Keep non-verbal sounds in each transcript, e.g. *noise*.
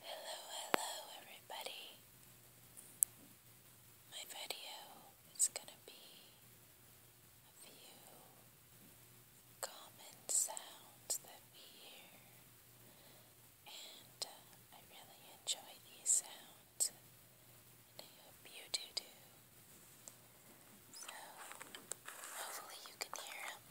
Hello, hello, everybody. My video is going to be a few common sounds that we hear, and uh, I really enjoy these sounds, and I hope you do too. So, hopefully, you can hear them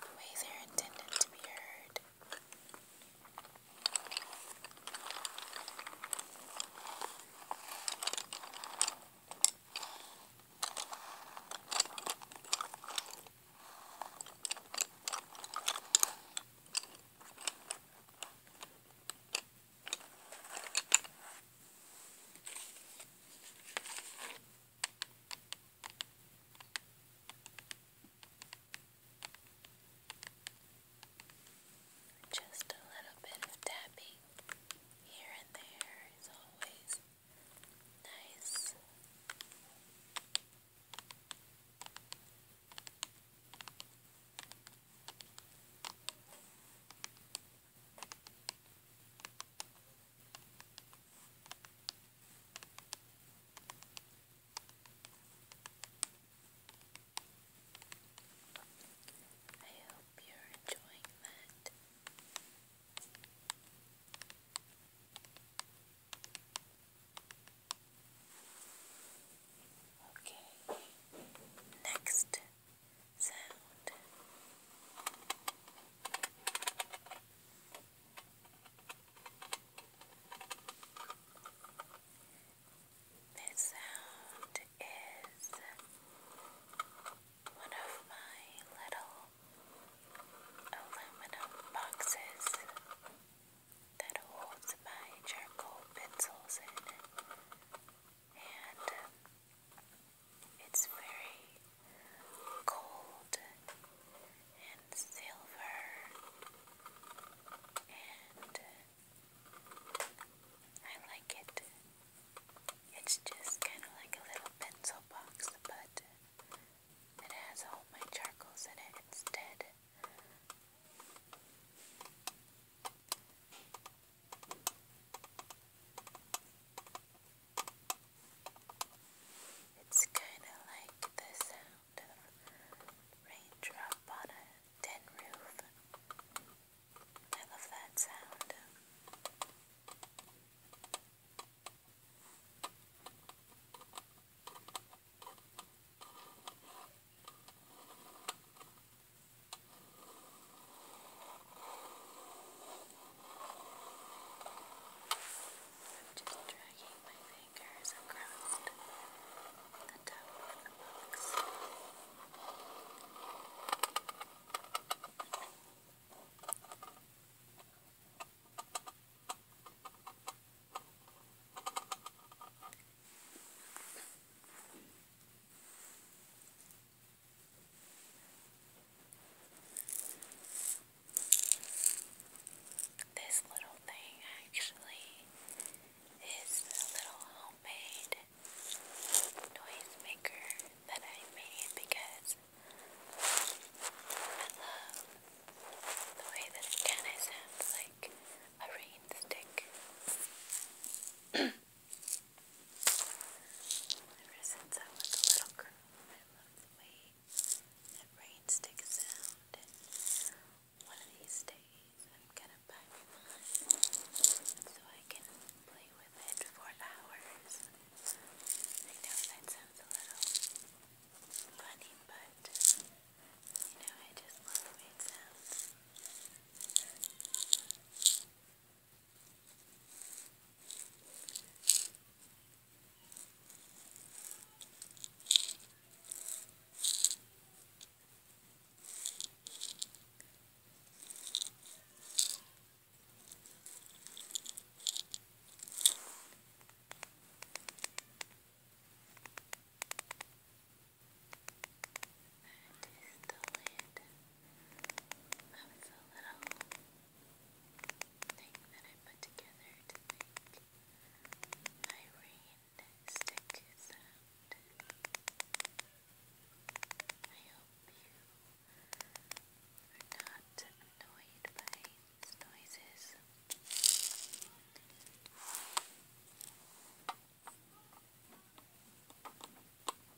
the way they're intended to be heard. Just a little bit of tapping here and there is always nice. I hope you're enjoying that. Okay, next sound. This sound is one of my little aluminum boxes that holds my charcoal pencils in. Um, it's very cold and silver and I like it. It's just kind of like a little pencil box, but it has all my charcoals in it instead. It's kind of like the sound of raindrop on a tin roof. I love that sound. I'm just dragging my fingers across the top of the box. This little thing actually is a little homemade noise maker that I made because I love the way that it kind of sounds like a rain *clears throat* Ever since I was a little girl, I love the way that rain sticks out, and one of these days I'm gonna buy one so I can play with it for hours. I know that sounds a little funny, but you know, I just love the way it that is the lid. That was a little thing that I put together to make my rain sound. I hope you are not annoyed by these noises.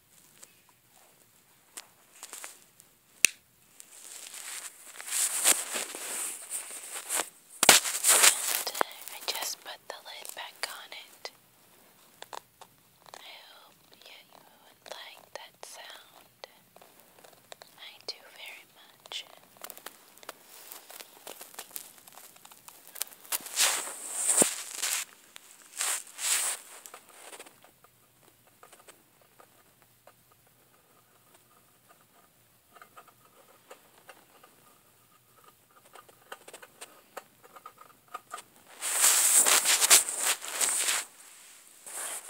I just put the lid back on it. I hope yeah, you like that sound. I do very much. I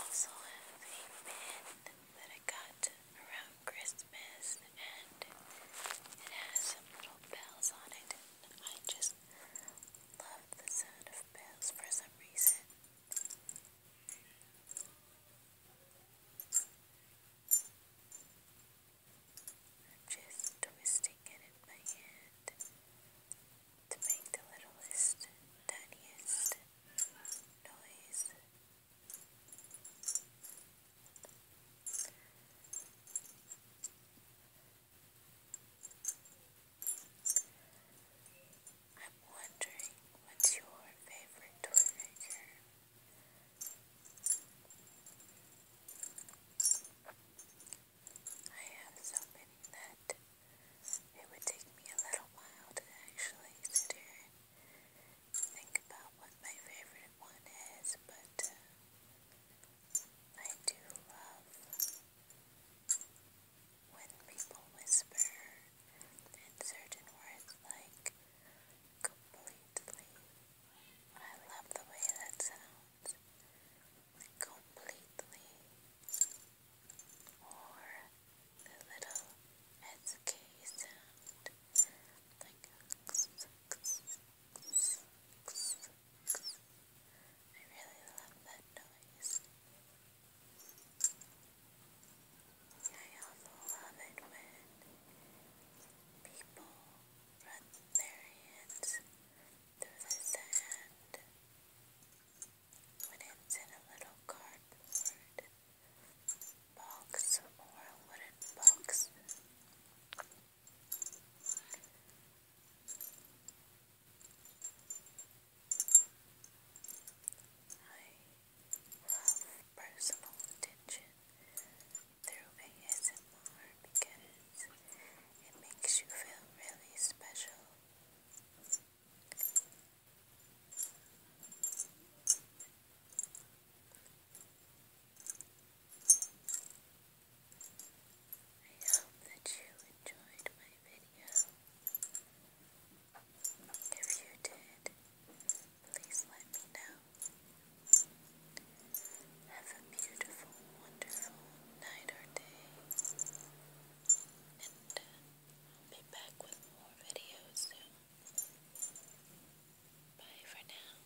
also have a pen that I got around Christmas and it has some little bells on it. I just bells. Loved the sound of bells for some reason. I'm just twisting it in my hand to make the littlest, tiniest noise. I'm wondering what's your favorite toy maker? I have so many that it would take me a little while to actually sit here and think about what my favorite one is, but uh, I do love when people whisper certain words like completely, I love the way that sounds. Completely, or the little sk sound, like I really love that noise. I also love it when people run their hands through the sand when it's in a little cardboard box or a wooden box. I love personal attention through ASMR because it makes you feel really special. I hope that you enjoyed my video. If you did, please let me know. Have a beautiful, wonderful night or day. And uh, I'll be back with more videos soon. Bye for now.